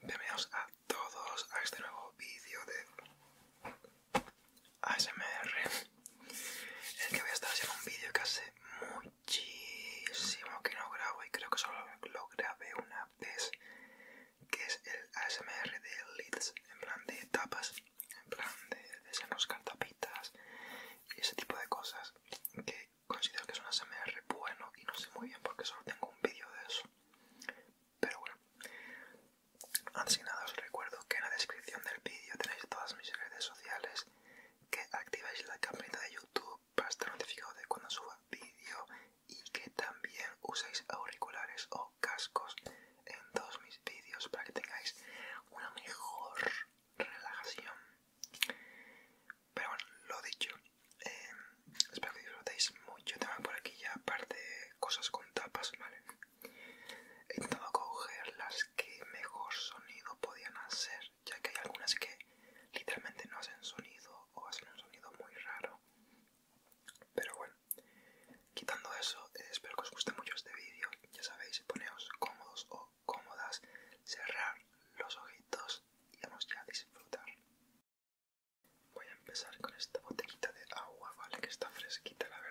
Bienvenidos a todos a este nuevo vídeo de ASMR el que voy a estar haciendo un vídeo que hace muchísimo que no grabo y creo que solo lo grabé una vez Que es el ASMR de Lids, en plan de tapas en plan de, de cartapitas y ese tipo de cosas que considero que es un ASMR bueno y no sé muy bien porque solo tengo un vídeo de eso pero bueno antes de nada os recuerdo que en la descripción del vídeo tenéis todas mis redes sociales que activéis la campanita de youtube para estar notificado de cuando suba vídeo y que también uséis auriculares o cascos en todos mis vídeos para que tengáis una mejor relajación. Pero bueno, lo dicho, eh, espero que disfrutéis mucho. Tengo por aquí ya aparte cosas con tapas, ¿vale? He intentado coger las que mejor sonido podían hacer, ya que hay algunas que literalmente no hacen sonido o hacen un sonido muy raro. Pero bueno. Quitando eso, eh, espero que os guste mucho este vídeo. Ya sabéis, poneos cómodos o cómodas, cerrar los ojitos y vamos ya a disfrutar. Voy a empezar con esta botellita de agua, vale, que está fresquita, la verdad.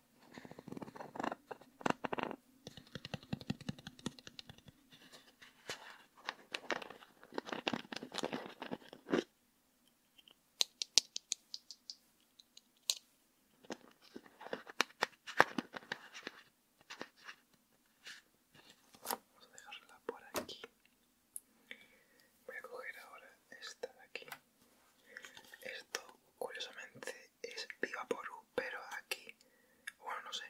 Vamos a dejarla por aquí. Voy a coger ahora esta de aquí. Esto, curiosamente, es Viva pero aquí, bueno, no sé,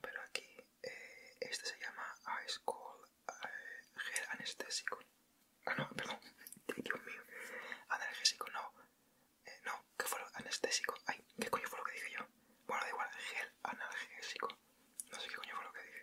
pero aquí eh, este se llama Ice Cold eh, Gel Anestésico. Ah, no, perdón, Dios mío, analgésico, no, eh, no, que fue lo anestésico, ay, ¿qué coño fue lo que dije yo? Bueno, da igual, gel analgésico, no sé qué coño fue lo que dije.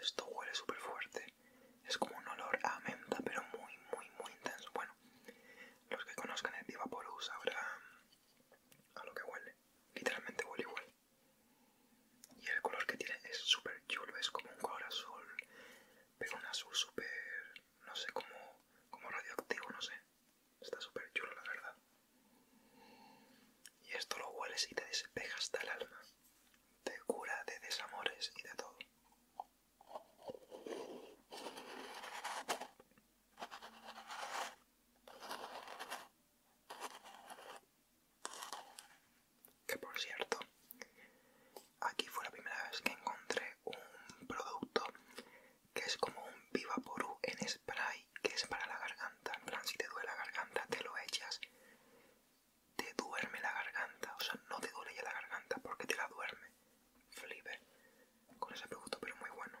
esto huele súper fuerte. Es como un olor a menta, pero muy, muy, muy intenso. Bueno, los que conozcan el Diva sabrán a lo que huele. Literalmente huele igual. Y el color que tiene es súper chulo, es como un color azul, pero un azul súper, no sé, como, como radioactivo, no sé. Está súper chulo, la verdad. Y esto lo hueles y te despeja hasta el alma. Te cura de desamores y de todo. Que por cierto, aquí fue la primera vez que encontré un producto que es como un Viva en en ahí, que es para la garganta. En plan, si te duele la garganta, te lo echas. Te duerme la garganta. O sea, no te duele ya la garganta porque te la duerme. Flipper. Con ese producto, pero muy bueno.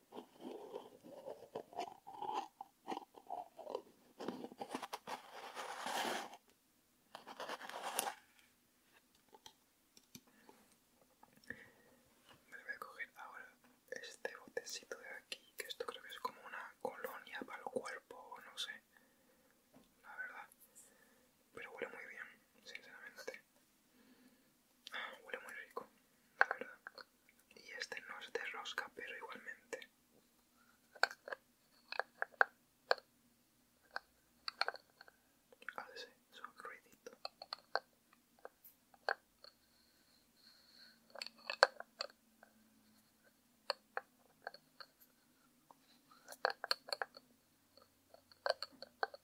Me voy a coger ahora este botecito de aquí, que esto creo que es como una colonia para el cuerpo, o no sé, la verdad. Pero huele muy bien, sinceramente. Ah, huele muy rico, la verdad. Y este no es de rosca, pero igualmente. A ah, ver ruidito.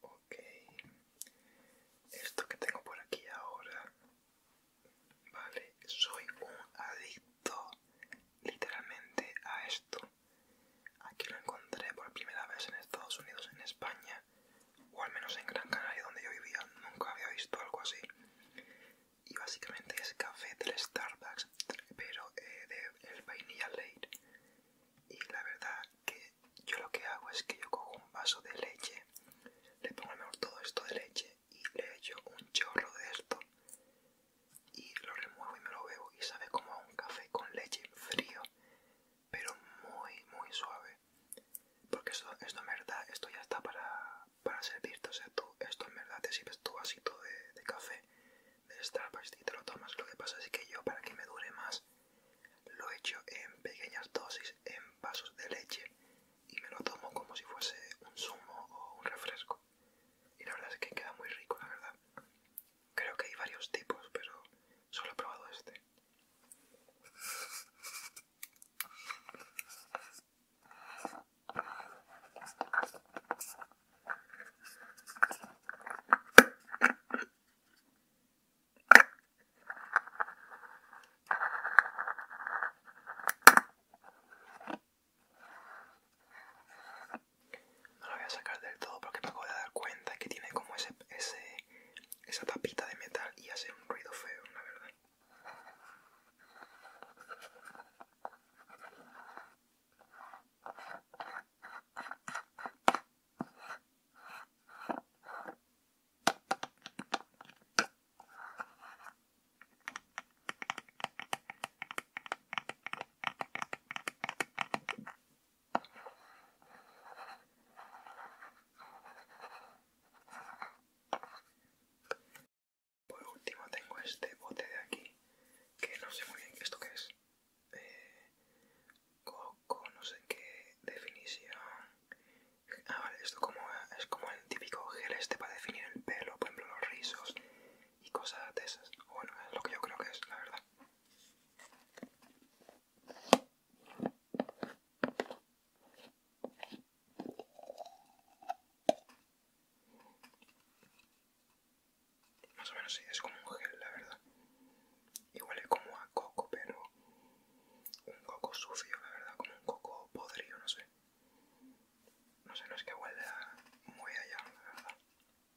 Ok, esto que tengo por aquí ahora, vale, soy un adicto literalmente a esto. Aquí lo encontré por primera vez en Estados Unidos, en España, o al menos en Gran Canaria donde yo vivía nunca había visto algo así y básicamente es café del Starbucks pero eh, de el vainilla late y la verdad que yo lo que hago es que yo cojo un vaso de leche le pongo todo esto de leche y le echo un chorro de esto y lo remuevo y me lo bebo y sabe como a un café con leche frío pero muy, muy suave. Porque esto, en verdad, esto ya está para, servirte. O sea, tú, esto en verdad te sirves tu vasito de, café de Starbucks y te lo tomas. Lo que pasa es que yo, para que me dure más, lo echo en pequeñas dosis, en vasos de leche y me lo tomo como si fuese un zumo o un refresco. Y la verdad es que queda muy rico, la verdad. Creo que hay varios tipos, pero solo he probado este. No lo voy a sacar del todo porque me acabo de dar cuenta que tiene como ese, ese esa tapita de metal y hace un ruido feo, la verdad. Por último tengo este bote de aquí, que no sé muy bien esto qué es. Eh, coco, no sé qué definición. Ah, vale, esto como, es como el típico gel este para definir el pelo, por ejemplo los rizos y cosas de esas. Bueno, es lo que yo creo que es, la verdad. Más o menos sí, es como un gel, la verdad. Igual es como a coco, pero un coco sucio, la verdad, como un coco podrido, no sé. No sé, no es que huela muy allá, la verdad.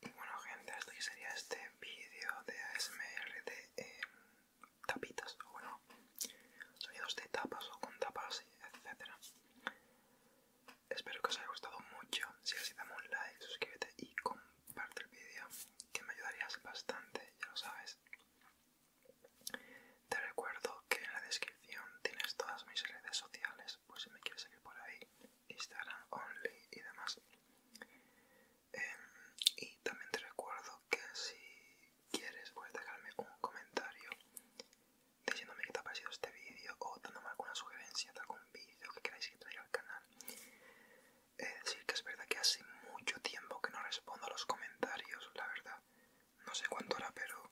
Y bueno gente, esto sería este vídeo de ASMR de em, tapitas, o bueno, sonidos de tapas o con tapas, etcétera. Espero que os haya gustado mucho, si así dame un like, suscríbete y parte del vídeo que me ayudarías bastante, ya lo sabes. Te recuerdo que en la descripción tienes todas mis redes sociales, pues si me quieres seguir por ahí, Instagram, Only y demás. Em, y también te recuerdo que si quieres puedes dejarme un comentario diciéndome que te ha parecido este vídeo o dándome alguna sugerencia de algún vídeo que queráis que traiga al canal He decir que es verdad que hace mucho tiempo que no respondo a los comentarios, la verdad. No sé cuánto era pero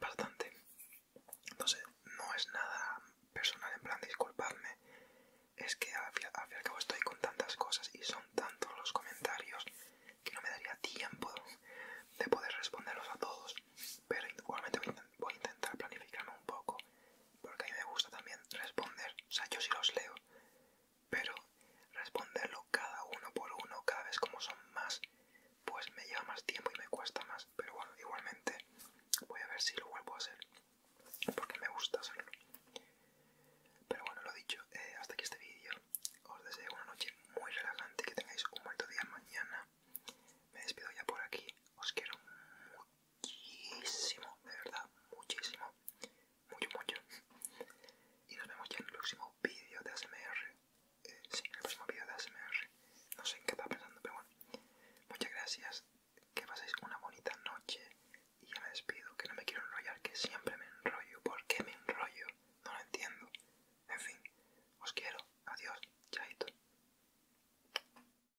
bastante. Entonces, no es nada personal, en plan, disculparme Es que al fin y al cabo estoy con tantas cosas y son tantos los comentarios que no me daría tiempo de poder responderlos a todos. Pero igualmente voy a, intentar planificarme un poco porque a mí me gusta también responder, o sea, yo sí los leo, pero responderlo cada uno por uno, cada vez como son más, pues me lleva más tiempo y me cuesta más, pero bueno, igualmente voy a ver si lo vuelvo a hacer, porque me gusta hacerlo. Pero bueno, lo dicho, eh, hasta aquí este vídeo, os deseo una noche muy relajante, que tengáis un bonito día mañana, me despido ya por aquí, os quiero mucho muchísimo, de verdad, muchísimo, mucho, mucho. Y nos vemos ya en el próximo vídeo de ASMR. Eh, sí, el próximo vídeo de ASMR. No sé en qué estaba pensando, pero bueno. Muchas gracias, que paséis una bonita noche. Y ya me despido, que no me quiero enrollar, que siempre me enrollo. ¿Por qué me enrollo? No lo entiendo. En fin, os quiero. Adiós. Chaito.